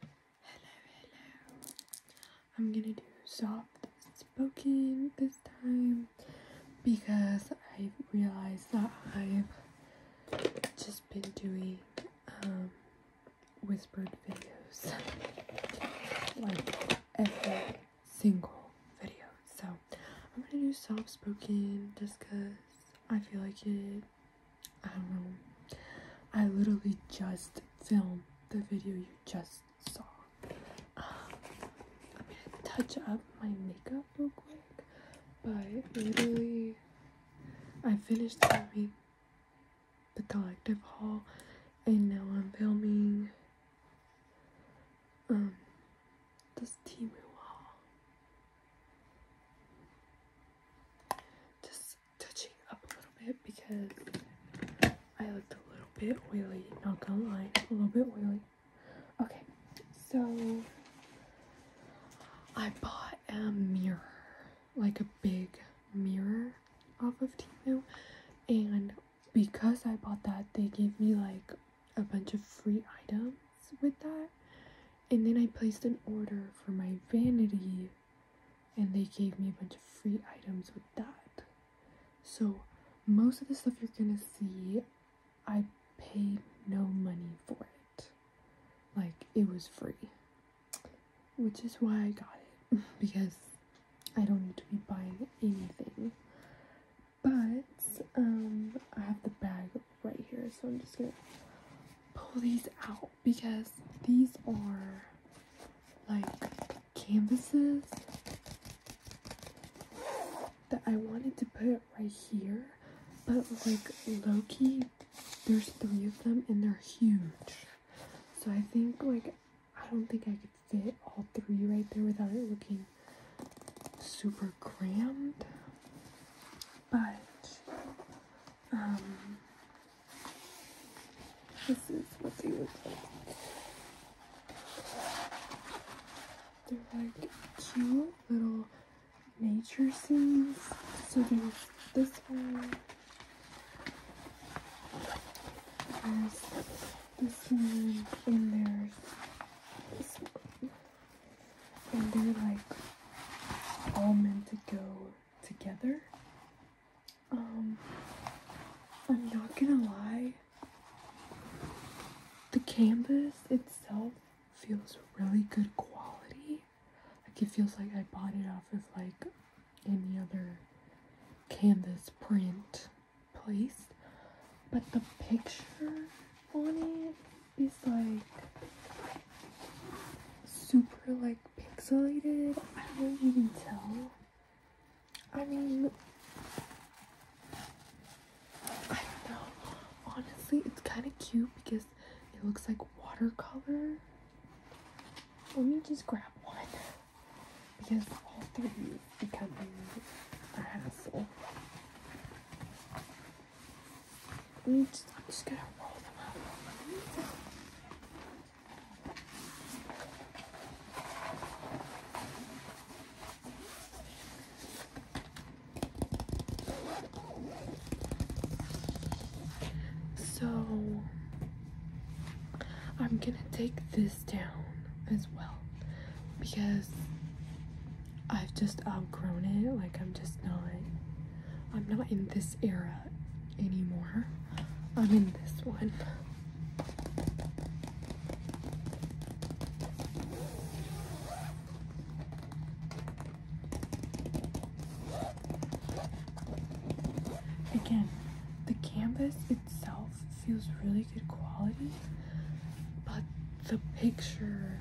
Hello, hello. I'm gonna do soft spoken this time because I realized that I've just been doing um, whispered videos like every single video. So I'm gonna do soft spoken just because I feel like it I don't know. I literally just filmed the video you just saw. Um, I'm gonna touch up my makeup real quick, but literally, I finished filming the collective haul, and now I'm filming um this Timu haul. Just touching up a little bit because I looked a little bit oily, not gonna lie, a little bit oily. Okay, so I bought a mirror, like a big mirror off of Timu, and because I bought that, they gave me like a bunch of free items with that. And then I placed an order for my vanity and they gave me a bunch of free items with that. So most of the stuff you're gonna see, I paid no money for it. Like it was free, which is why I got it because I don't need to be buying anything. But um, I have the bag right here, so I'm just gonna pull these out because these are like canvases that I wanted to put right here, but like Loki, there's three of them and they're huge. So I think like I don't think I could fit all three right there without it looking super cramped but um, this is what they look like. They're like cute little nature scenes. So there's this one. There's this one, and there's this one. And they're like all meant to go together. Um, I'm not gonna lie, the canvas itself feels really good quality. Like it feels like I bought it off of like any other canvas print place. But the picture on it is like super like pixelated. I don't know you can tell. I mean, I don't know. Honestly, it's kind of cute because it looks like watercolor. Let me just grab one because all three is becoming a hassle. I'm just, gonna roll them out. So I'm gonna take this down as well because I've just outgrown it. Like I'm just not I'm not in this era anymore. I'm in this one. Again, the canvas itself feels really good quality, but the picture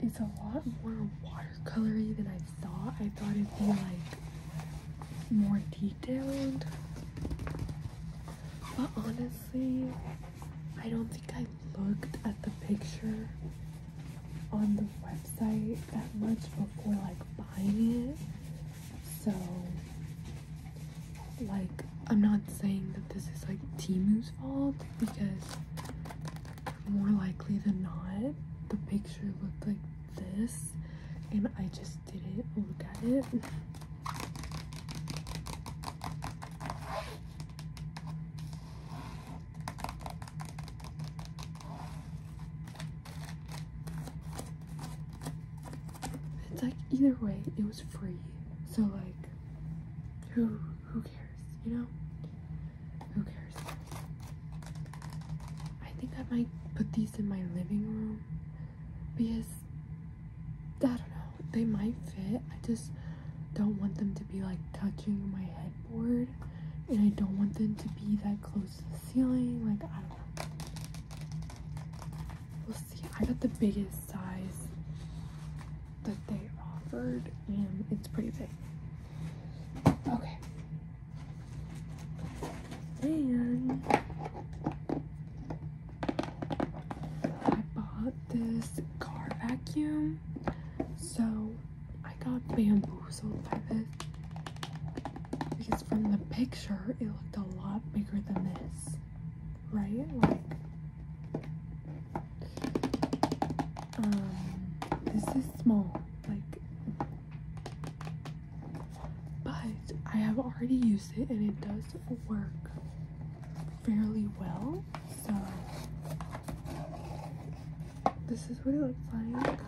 is a lot more wide watercolory than I thought. I thought it'd be like more detailed. But honestly, I don't think I looked at the picture on the website that much before like buying it. So like I'm not saying that this is like Timu's fault because more likely than not, the picture looked like this, and I just did it. look at it. It's like either way, it was free. So like, who who cares? you know? Who cares? I think I might put these in my living room because I don't know, they might fit. I just don't want them to be like touching my headboard and I don't want them to be that close to the ceiling. Like, I don't know. We'll see. I got the biggest size that they offered and it's pretty big. Okay. And I bought this car vacuum. So I got bamboozled by this because from the picture it looked a lot bigger than this. Right? um, this is small, like, but I have already used it and it does work fairly well. So, this is what it looks like.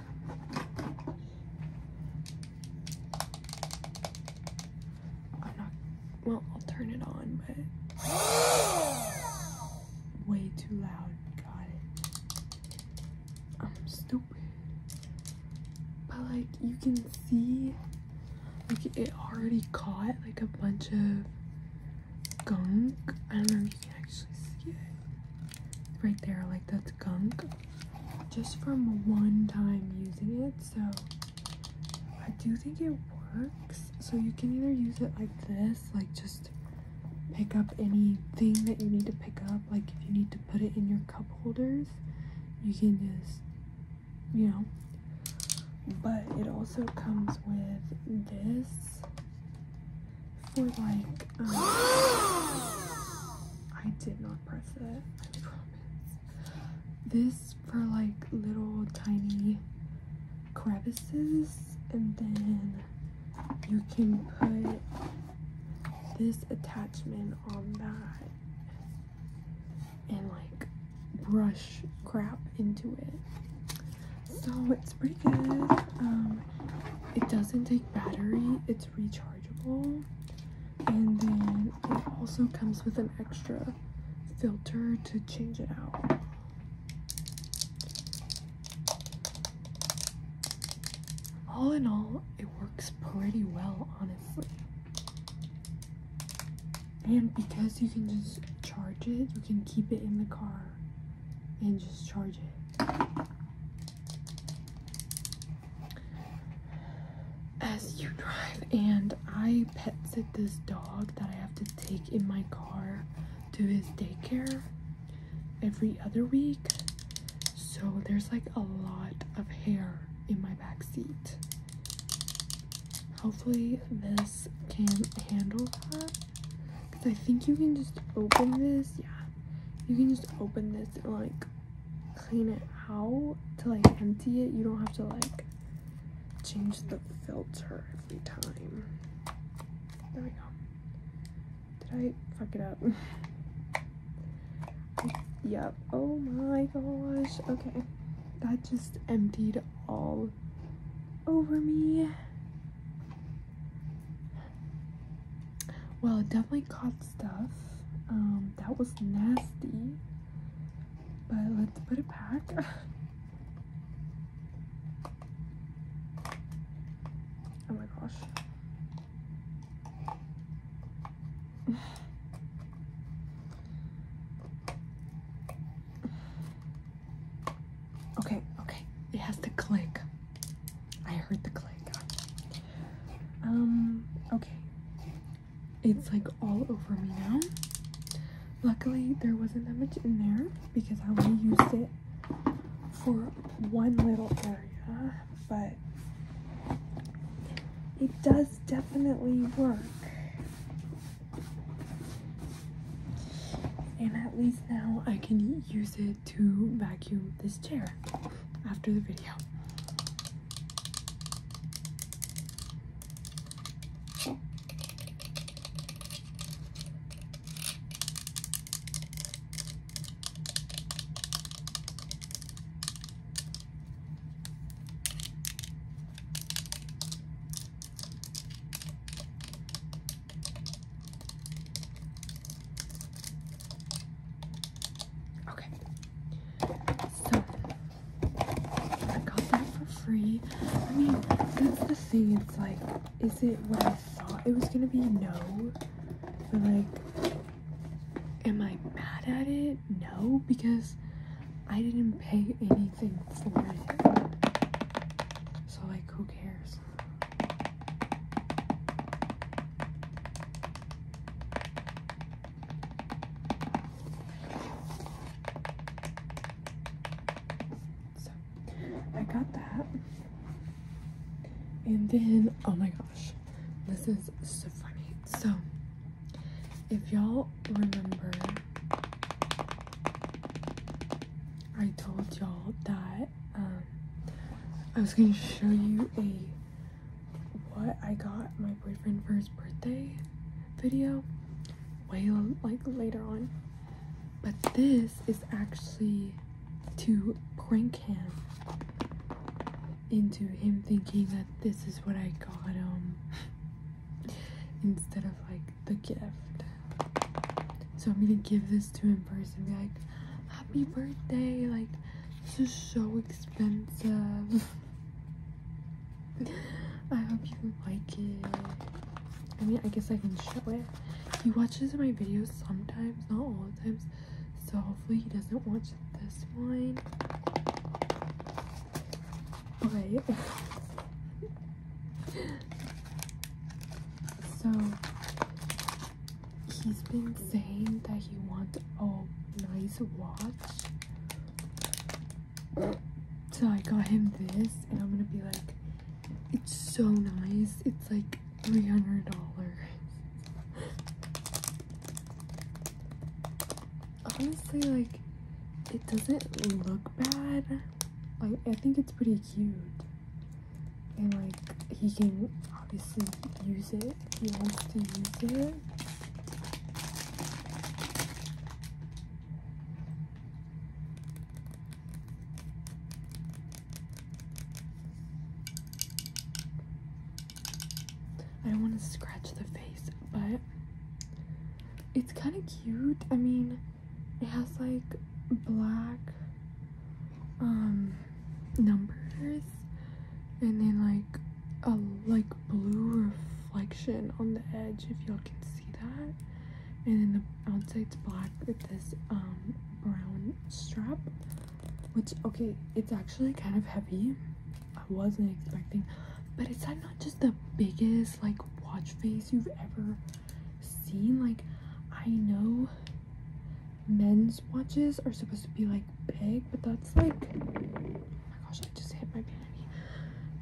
I'm not, well, I'll turn it on, but way too loud. Got it. I'm stupid. But like you can see like it already caught like a bunch of gunk. I don't know if you can actually see it. right there, like that's gunk. Just from one time using it, so I do think it works. So you can either use it like this, like just pick up anything that you need to pick up. Like if you need to put it in your cup holders, you can just, you know. But it also comes with this for like, um, I did not press it, I promise. This for like little tiny crevices and then you can put this attachment on that and like brush crap into it so it's pretty good um, it doesn't take battery it's rechargeable and then it also comes with an extra filter to change it out all in all, it works pretty well, honestly. And because you can just charge it, you can keep it in the car and just charge it. As you drive, and I pet sit this dog that I have to take in my car to his daycare every other week. So there's like a lot of hair in my back seat. Hopefully this can handle that. Because I think you can just open this. Yeah. You can just open this and like clean it out to like empty it. You don't have to like change the filter every time. There we go. Did I fuck it up? yep. Oh my gosh. Okay. That just emptied all over me. Well, it definitely caught stuff. Um, that was nasty. But let's put it back. Oh my gosh. okay, okay. It has to click. I heard the click. Um, okay. It's like all over me now. Luckily, there wasn't that much in there because I only used it for one little area, but it does definitely work. And at least now I can use it to vacuum this chair after the video. Okay. So I got that for free. I mean, that's the thing. It's like is it what I thought it was gonna be? No. But like, am I mad at it? No, because I didn't pay anything for it. So like, who cares? So I got that. And then, oh my gosh, this is so funny. So, if y'all remember, I told y'all that um, I was going to show you a what I got my boyfriend for his birthday video way like later on. But this is actually to prank him into him thinking that this is what I got him um, instead of like the gift. So I'm gonna give this to him first and be like, happy birthday, like this is so expensive. I hope you like it. I mean, I guess I can show it. He watches my videos sometimes, not all the times. So hopefully he doesn't watch this one. Okay. so he's been saying that he wants a nice watch. So I got him this and I'm gonna be like it's so nice. It's like $300. Honestly, like, it doesn't look bad. Like, I think it's pretty cute. And, like, he can obviously use it he wants to use it. I don't want to scratch the face, but it's kind of cute. I mean, it has like black um numbers and then like a like blue reflection on the edge if y'all can see see that. And then the outside's black with this um brown strap, which okay, it's actually kind of heavy. I wasn't expecting, but it's not just the biggest like watch face you've ever seen. Like I know men's watches are supposed to be like big, but that's like oh my gosh, I just hit my vanity.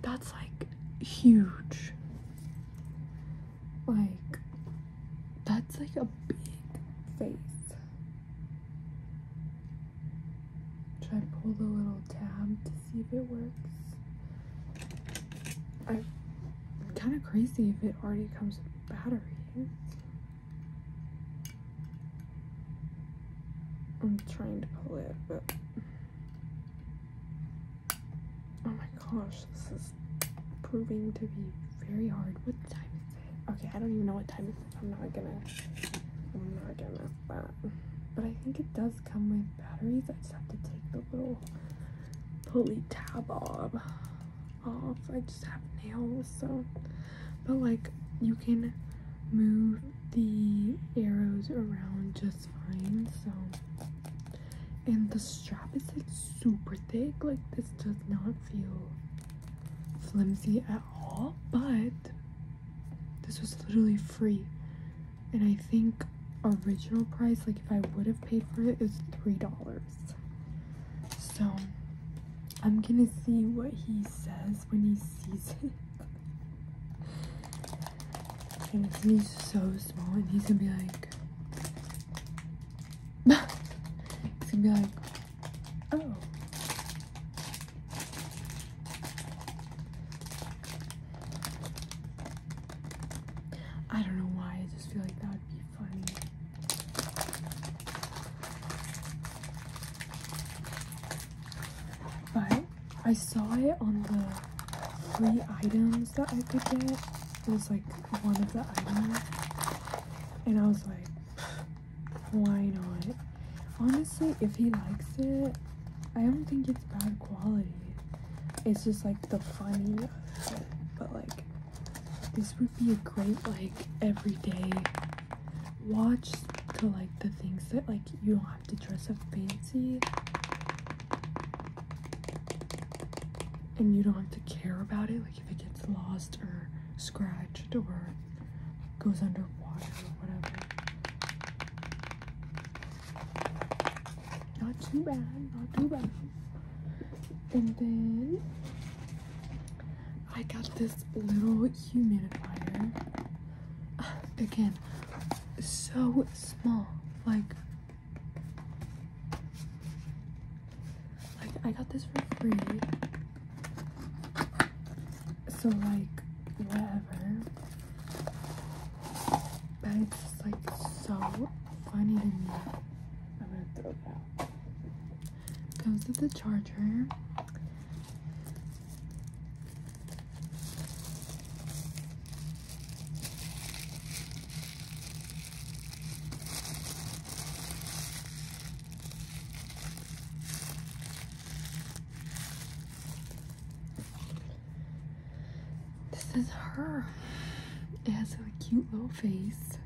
That's like huge. Like, that's like a big face. Try pull the little tab to see if it works. I'm kind of crazy if it already comes with battery. I'm trying to pull it, but Oh my gosh, this is proving to be very hard. What time is it? Okay, I don't even know what time it is. I'm not gonna, I'm not gonna mess that. But I think it does come with batteries. I just have to take the little pulley tab off. I just have nails, so. But like, you can move the arrows around just just fine. So, and the strap is like super thick. Like this does not feel flimsy at all. But this was literally free, and I think original price, like if I would have paid for it, is three dollars. So. I'm gonna see what he says when he sees it. And he's so small and he's gonna be like he's gonna be like oh I don't know why, I just feel like that would be funny. But I saw it on the free items that I could get. It was like one of the items. And I was like, why not? Honestly, if he likes it, I don't think it's bad quality. It's just like the funny But like, this would be a great like everyday watch to like the things that like you do to dress up fancy and you don't have to care about it like if it gets lost or scratched or goes underwater or whatever not too bad not too bad and then I got this little humidifier again so small like like, I got this for free. So, like, whatever. But it's just, like, so funny to me. I'm gonna throw it out. Comes with the charger. This is her. It has a cute little face.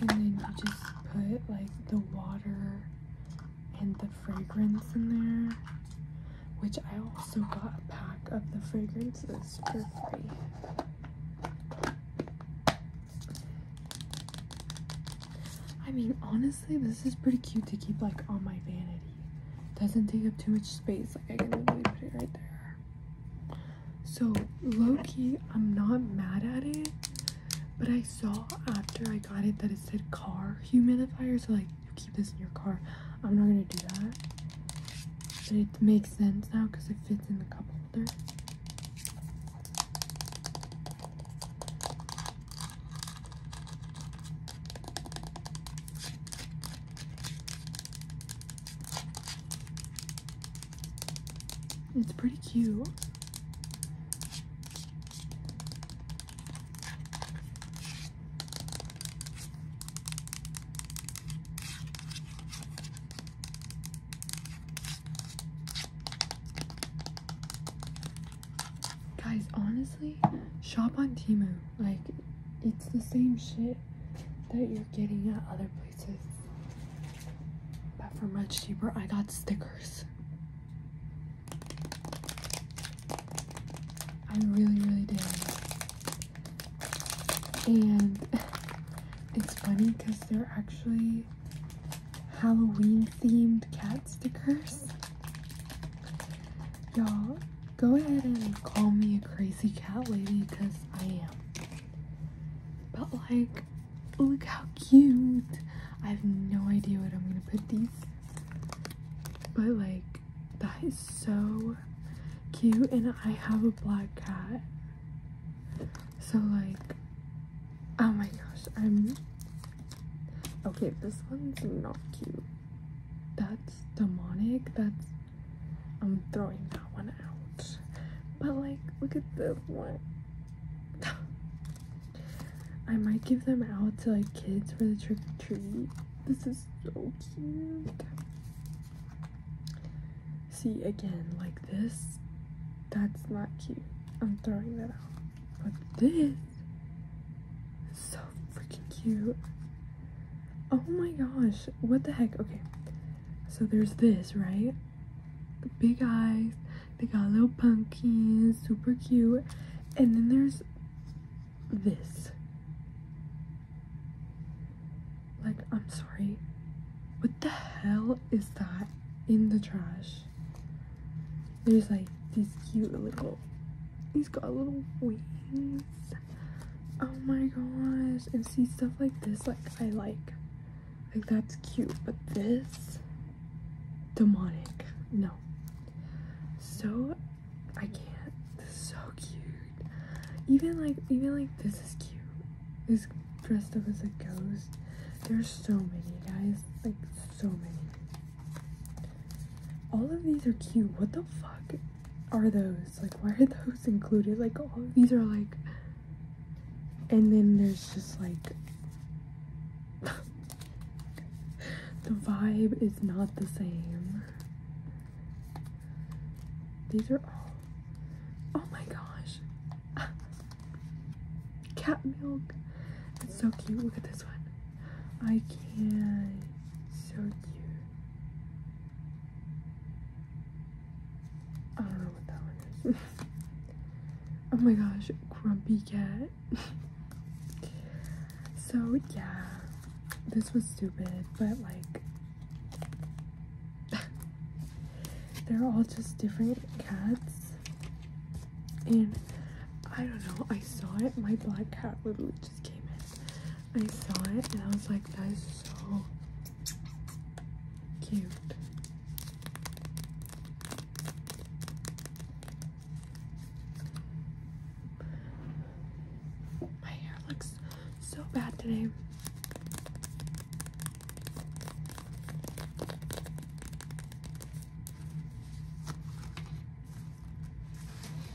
And then you just put like the water and the fragrance in there, which I also got a pack of the fragrances for free. I mean, honestly, this is pretty cute to keep like on my vanity. Doesn't take up too much space. Like I can literally put it right there. So Loki, I'm not mad at it. But I saw after I got it that it said car humidifier, so like you keep this in your car. I'm not gonna do that. But it makes sense now because it fits in the cup holder. It's pretty cute. Guys, honestly, shop on Timu. Like, it's the same shit that you're getting at other places. But for much cheaper, I got stickers. I really, really did. And it's funny because they're actually Halloween themed cat stickers. Y'all, go ahead and call me a crazy cat lady because I am. But like, Look how cute. I have no idea what I'm gonna put these. But like, that is so cute. And I have a black cat. So like, oh my gosh, I'm, okay, this one's not cute. That's demonic. That's, I'm throwing that one out. But like, look at this one. I might give them out to like kids for the trick or treat. This is so cute. See again, like this, that's not cute. I'm throwing that out. But this is so freaking cute. Oh my gosh, what the heck? Okay, so there's this, right? The big eyes, they got little pumpkins, super cute. And then there's this. Like, I'm sorry. What the hell is that in the trash? There's like this cute little, he's got little wings. Oh my gosh. And see stuff like this, like I like. Like that's cute, but this demonic. No. So I can't. so cute. Even like even like this is cute. This dressed up as a ghost. There's so many guys. Like so many. All of these are cute. What the fuck are those? Like why are those included? Like all of these are like and then there's just like the vibe is not the same. These are all. Oh my gosh. Cat milk. It's so cute. Look at this one. I can't. So cute. I don't know what that one is. Oh my gosh, grumpy cat. so yeah, this was stupid, but like they're all just different cats. And I don't know, I saw it. My black cat literally just came in. I saw it and I was like, that is so cute. My hair looks so bad today.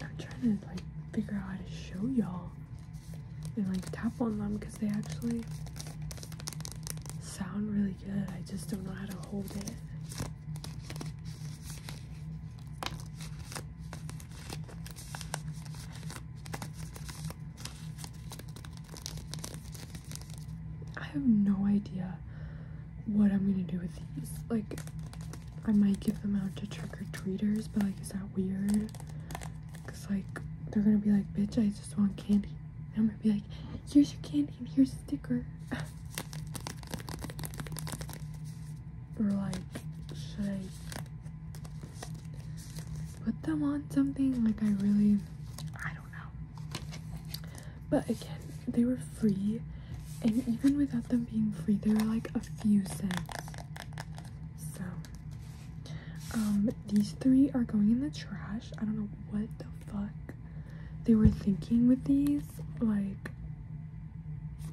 I'm trying to like figure out how to show y'all and like tap on them because they actually sound really good. I just don't know how to hold it. I have no idea what I'm gonna do with these. Like, I might give them out to trick or treaters, but like, is that weird? Because, like, they're gonna be like, bitch, I just want candy. And I'm gonna be like, here's your candy and here's a sticker. or like, should I put them on something? Like I really, I don't know. But again, they were free. And even without them being free, they were like a few cents. So, um, these three are going in the trash. I don't know what the fuck they were thinking with these. Like,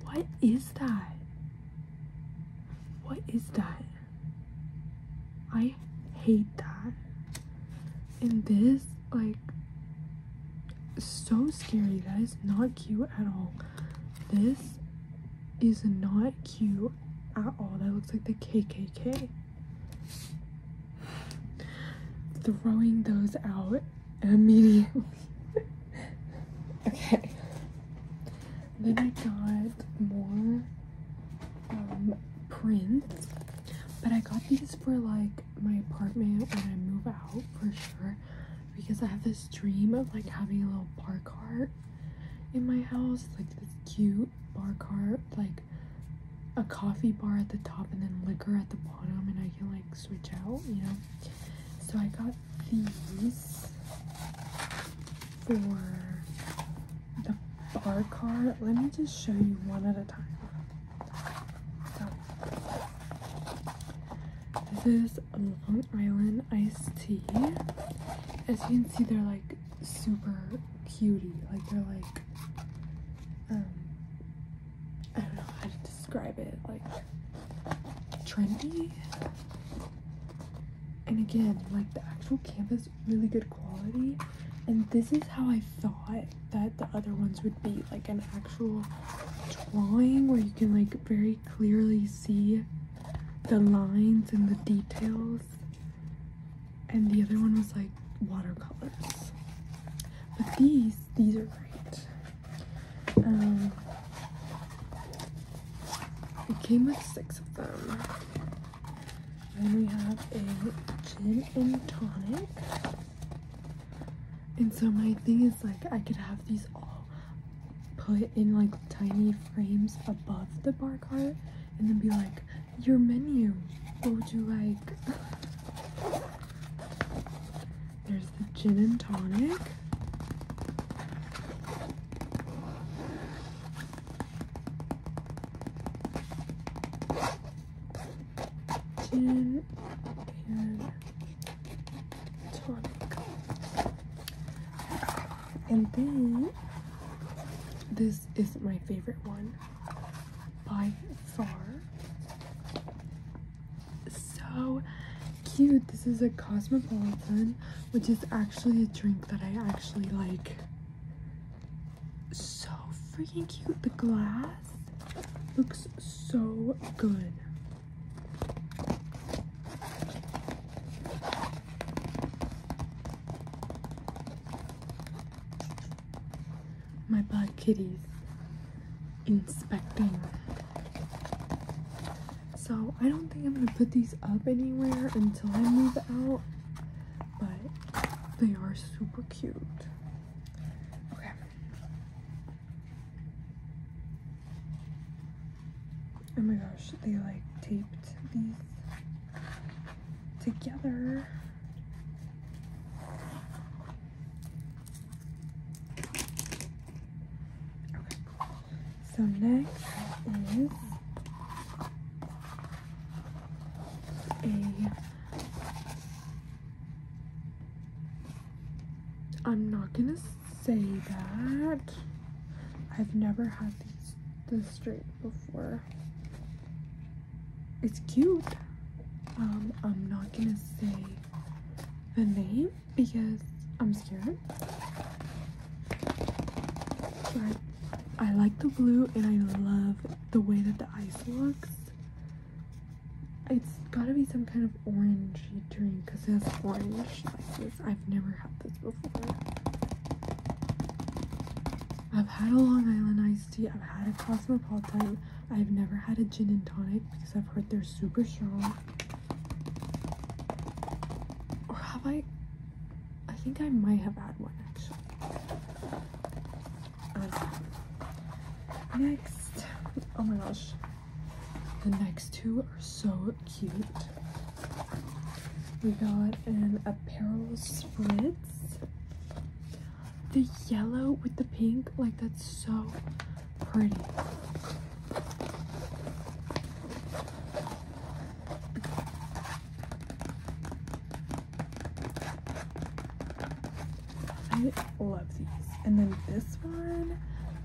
what is that? What is that? I hate that. And this, like, so scary. That is not cute at all. This is not cute at all. That looks like the KKK throwing those out immediately. okay. Then I got more um, prints, but I got these for like my apartment when I move out for sure because I have this dream of like having a little bar in my house, like this cute bar cart, like a coffee bar at the top and then liquor at the bottom, and I can like switch out, you know. So I got these for the bar cart. Let me just show you one at a time. So, this is Long Island iced tea. As you can see, they're like super cutie. Like they're like, um, I don't know how to describe it. Like trendy. And again, like the actual canvas, really good quality. And this is how I thought that the other ones would be, like an actual drawing where you can like very clearly see the lines and the details and the other one was like watercolors. But these, these are great. Um, it came with six of them. Then we have a gin and tonic. And so my thing is like I could have these all put in like tiny frames above the bar cart and then be like, your menu. What would you like? There's the gin and tonic. Gin and tonic. And then this is my favorite one by far. So cute. This is a Cosmopolitan, which is actually a drink that I actually like. So freaking cute. The glass looks so good my bad kitties inspecting. So I don't think I'm gonna put these up anywhere until I move out, but they are super cute. Okay. Oh my gosh, they like taped these together. So next is a I'm not gonna say that. I've never had this straight before it's cute. Um, I'm not gonna say the name because I'm scared. But I like the blue and I love the way that the ice looks. It's gotta be some kind of orangey drink because it has orange slices. I've never had this before. I've had a Long Island ice honesty, I've had a Cosmopolitan. I've never had a gin and tonic because I've heard they're super strong. Or have I? I think I might have had one actually. Uh, next, oh my gosh, the next two are so cute. We got an apparel spritz. The yellow with the pink, like that's so pretty. I love these. And then this one,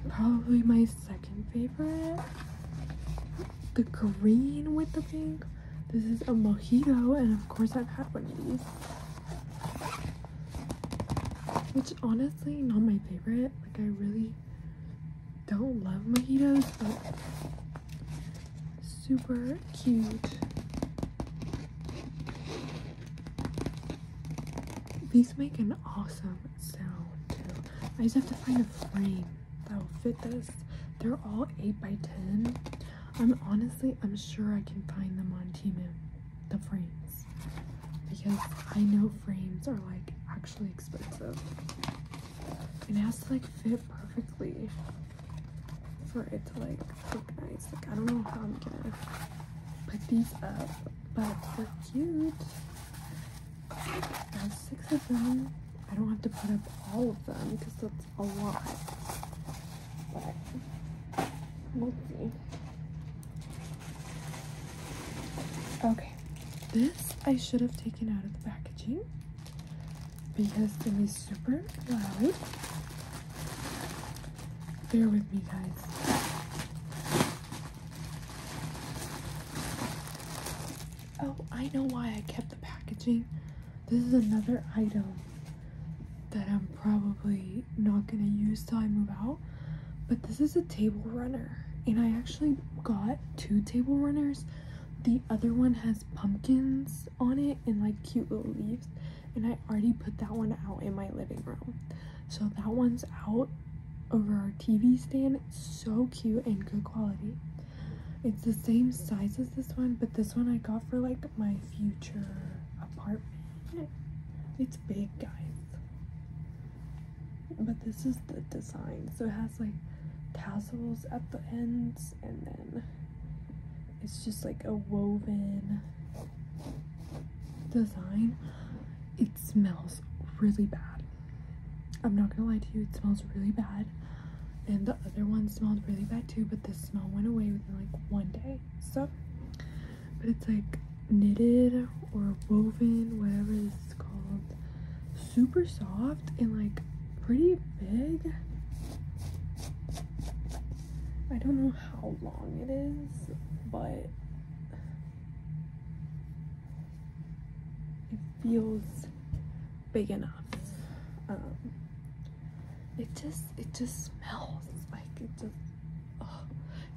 probably my second favorite. The green with the pink, this is a mojito, and of course I've had one of these. Which honestly, not my favorite. Like I really don't love mojitos, but super cute. These make an awesome sound too. I just have to find a frame that will fit this. They're all 8 by 10 I'm honestly, I'm sure I can find them on Temu, the frames, because I know frames are like actually expensive. And it has to like fit perfectly for it to like look nice. Like I don't know how I'm gonna put these up, but they're cute. There's six of them. I don't have to put up all of them because that's a lot. But we'll see. Okay, this I should have taken out of the packaging because it is super loud. Bear with me, guys. Oh, I know why I kept the packaging this is another item that I'm probably not gonna use till I move out, but this is a table runner. And I actually got two table runners. The other one has pumpkins on it and like cute little leaves. And I already put that one out in my living room. So that one's out over our TV stand. so cute and good quality. It's the same size as this one, but this one I got for like my future apartment. It's big, guys. But this is the design. So it has like tassels at the ends and then it's just like a woven design. It smells really bad. I'm not gonna lie to you, it smells really bad and the other one smelled really bad too but the smell went away within like one day so but it's like knitted or woven whatever it's called super soft and like pretty big I don't know how long it is but it feels big enough. Um, it just, it just smells like it just,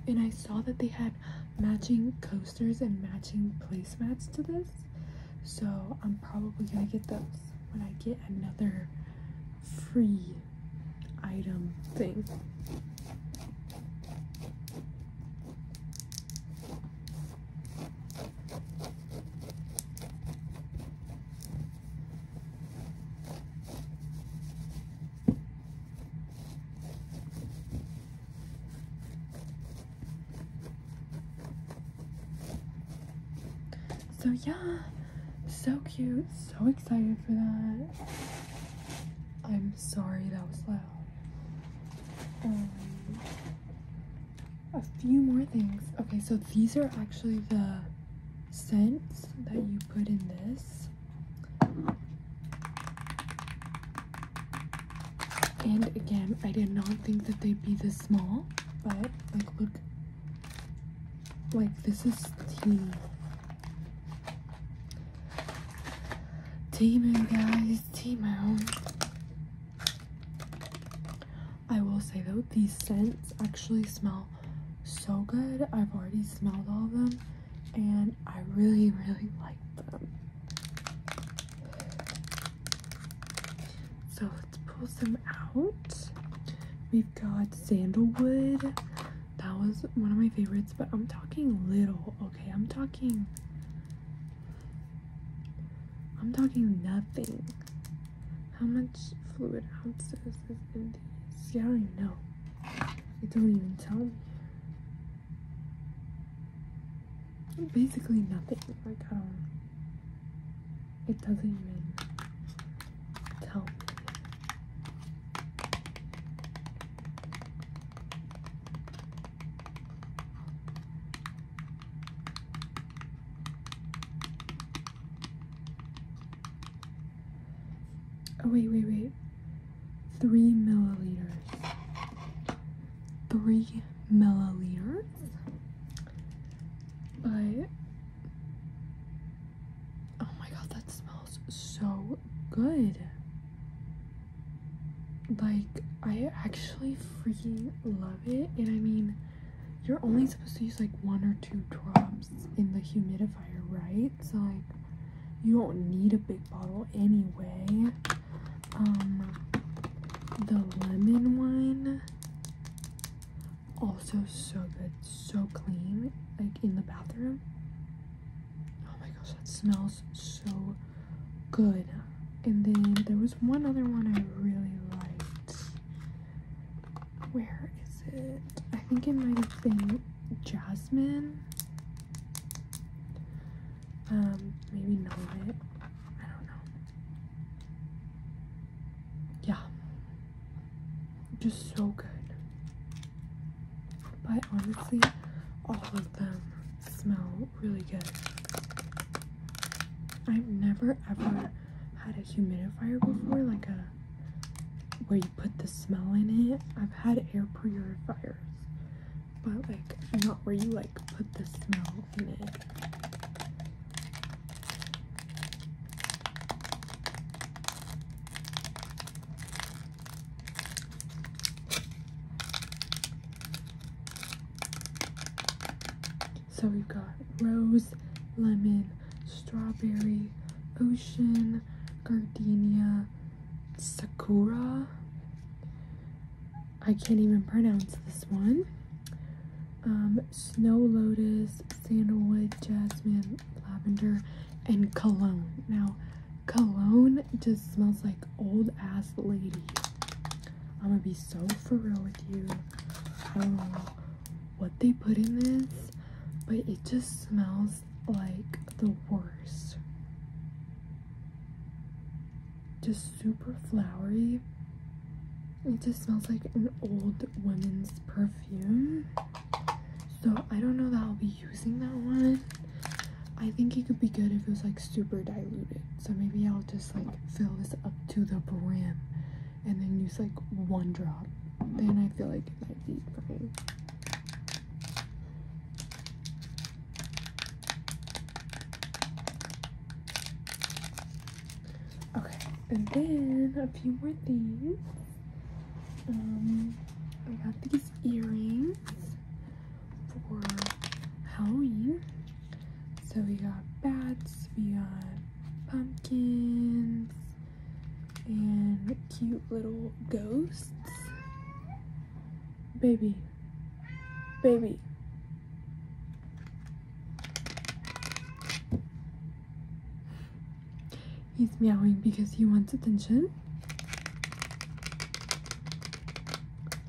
And I saw that they had matching coasters and matching placemats to this. So I'm probably gonna get those when I get another free item thing. So yeah, so cute, so excited for that. I'm sorry that was loud. Um, a few more things. Okay, so these are actually the scents that you put in this. And again, I did not think that they'd be this small, but like look, like this is tea. Tea moon guys, tea moon. I will say though, these scents actually smell so good. I've already smelled all of them and I really, really like them. So let's pull some out. We've got sandalwood. That was one of my favorites, but I'm talking little, okay? I'm talking, I'm talking nothing. How much fluid ounces is in these? Yeah, I don't even know. They don't even tell me. Basically nothing. Like I don't. It doesn't even tell me. Oh, wait, wait, wait. Three milliliters. Three milliliters? But, oh my god, that smells so good. Like, I actually freaking love it. And I mean, you're only supposed to use like one or two drops in the humidifier, right? So like you don't need a big bottle anyway. Um the lemon one also so good, so clean, like in the bathroom. Oh my gosh, that smells so good. And then there was one other one I really liked. Where is it? I think it might have been Jasmine. Um, maybe not. I don't know. Yeah. Just so good. But honestly, all of them smell really good. I've never ever had a humidifier before, like a where you put the smell in it. I've had air purifiers, but like not where you like put the smell in it. So we've got rose, lemon, strawberry, ocean, gardenia, sakura. I can't even pronounce this one. Um, snow lotus, sandalwood, jasmine, lavender, and cologne. Now, cologne just smells like old ass lady. I'm gonna be so for real with you. I don't know what they put in this, but it just smells like the worst. Just super flowery. It just smells like an old woman's perfume. So I don't know that I'll be using that one. I think it could be good if it was like super diluted. So maybe I'll just like fill this up to the brim and then use like one drop. Then I feel like it might be fine. Okay, and then a few more things. Um, I got these earrings for Halloween. So we got bats, we got pumpkins, and cute little ghosts. Baby, baby. He's meowing because he wants attention.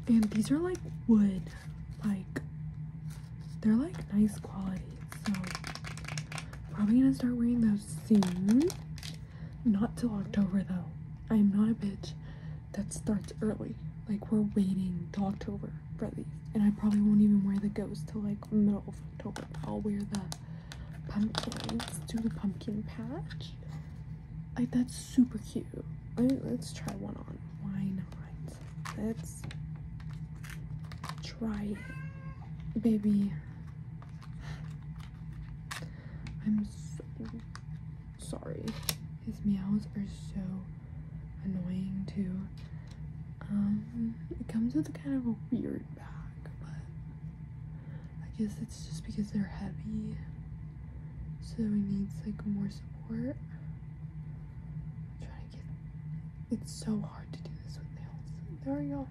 And these are like wood like they're like nice quality. So probably gonna start wearing those soon. Not till October though. I'm not a bitch that starts early. Like we're waiting till October for these. And I probably won't even wear the ghost till like middle of October. I'll wear the pumpkins to the pumpkin patch. Like that's super cute. let's try one on. Why not? Let's try it. Baby. I'm so sorry. His meows are so annoying too. Um, it comes with a kind of a weird bag, but I guess it's just because they're heavy so he needs like more support. trying to get it's so hard to do this with nails. There we go.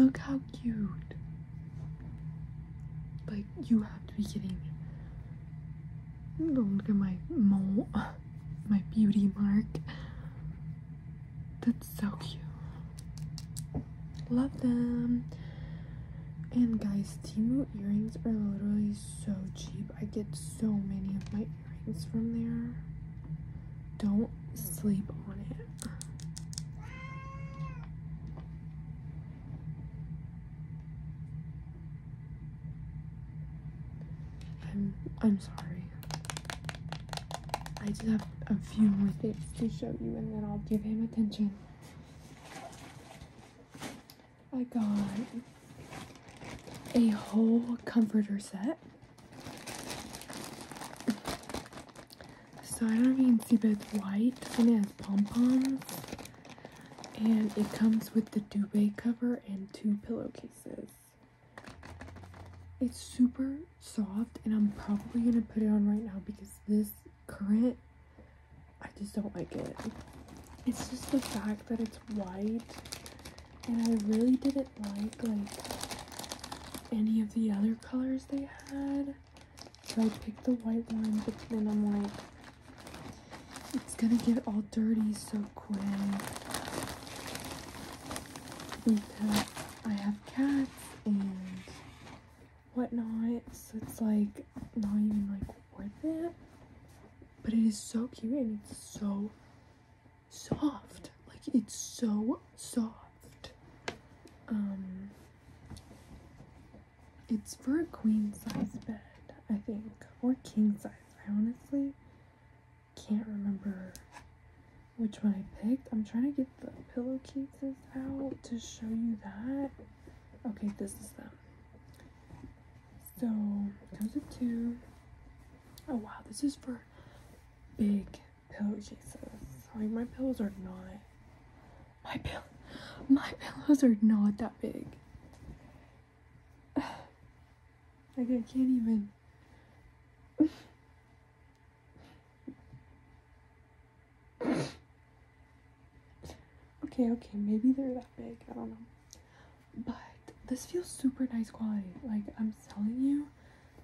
Look how cute. Like you have to be kidding me. Look at my mole, my beauty mark. That's so cute. Love them. And guys, Timu earrings are literally so cheap. I get so many of my earrings from there. Don't sleep on it. I'm, I'm sorry. I just have a few more things to show you and then I'll give him attention. I got a whole comforter set. So I don't even see, but it's white and it has pom-poms. And it comes with the duvet cover and two pillowcases. It's super soft and I'm probably going to put it on right now because this Current, I just don't like it. It's just the fact that it's white, and I really didn't like like any of the other colors they had. So I picked the white one, but then I'm like, it's gonna get all dirty so quick. Because I have cats and whatnot. So it's like not even like worth it. But it is so cute and it's so soft. Like it's so soft. Um it's for a queen size bed, I think. Or king size. I honestly can't remember which one I picked. I'm trying to get the pillowcases out to show you that. Okay, this is them. So comes with two. Oh wow, this is for big pillowcases. Like my pillows are not my pill my pillows are not that big. Like I can't even okay, okay, maybe they're that big. I don't know. But this feels super nice quality. Like, I'm telling you,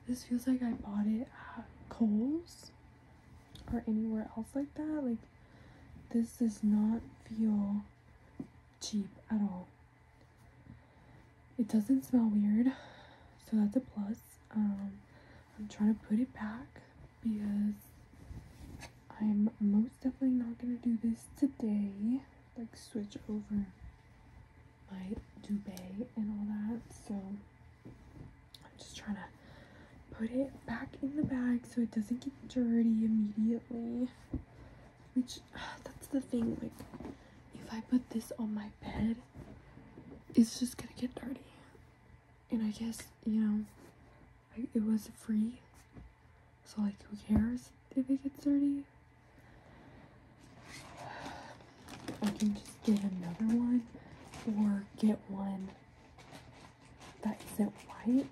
this feels like I bought it at Kohl's or anywhere else like that. Like, this does not feel cheap at all. It doesn't smell weird, so that's a plus. Um, I'm trying to put it back because I'm most definitely not going to do this today. Like switch over my duvet and all that. So I'm just trying to put it back in the bag so it doesn't get dirty immediately. Which, that's the thing. Like, if I put this on my bed, it's just going to get dirty and I guess, you know, it was free. So, like, who cares if it gets dirty? I can just get another one or get one that isn't white.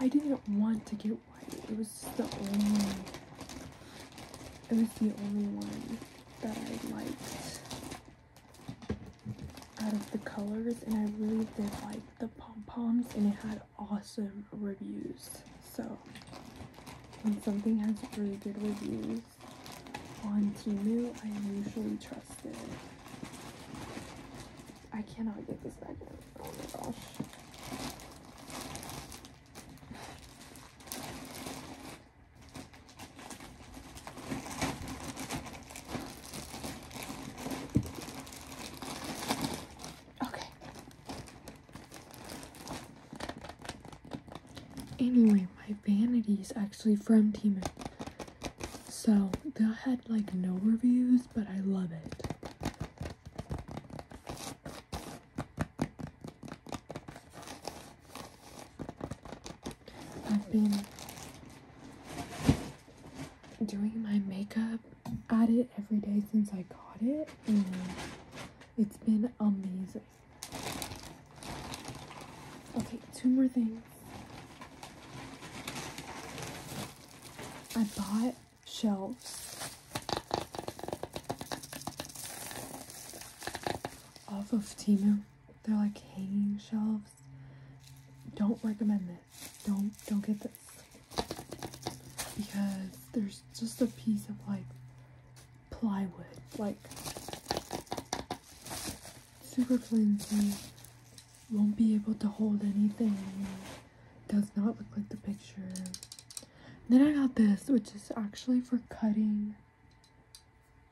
I didn't want to get white. It was the only, it was the only one that I liked out of the colors and I really did like the pom-poms and it had awesome reviews. So when something has really good reviews on Timu, I usually trust it. I cannot get this back in. Oh my gosh. Okay. Anyway, my vanity is actually from Teeman. So that had like no reviews, but I love it. I've been doing my makeup at it every day since I got it, and it's been amazing. Okay, two more things. I bought shelves off of Timu. They're like hanging shelves. Don't recommend this. Don't don't get this. Because there's just a piece of like plywood, like super flimsy, won't be able to hold anything. Does not look like the picture. Then I got this, which is actually for cutting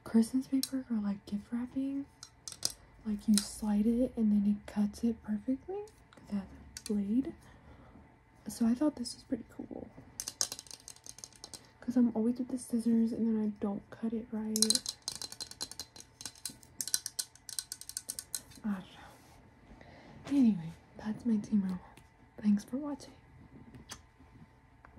Christmas paper or like gift wrapping, like you slide it and then it cuts it perfectly that blade. So I thought this was pretty cool. Because I'm always with the scissors and then I don't cut it right. I don't know. Anyway, that's my team roll. Thanks for watching.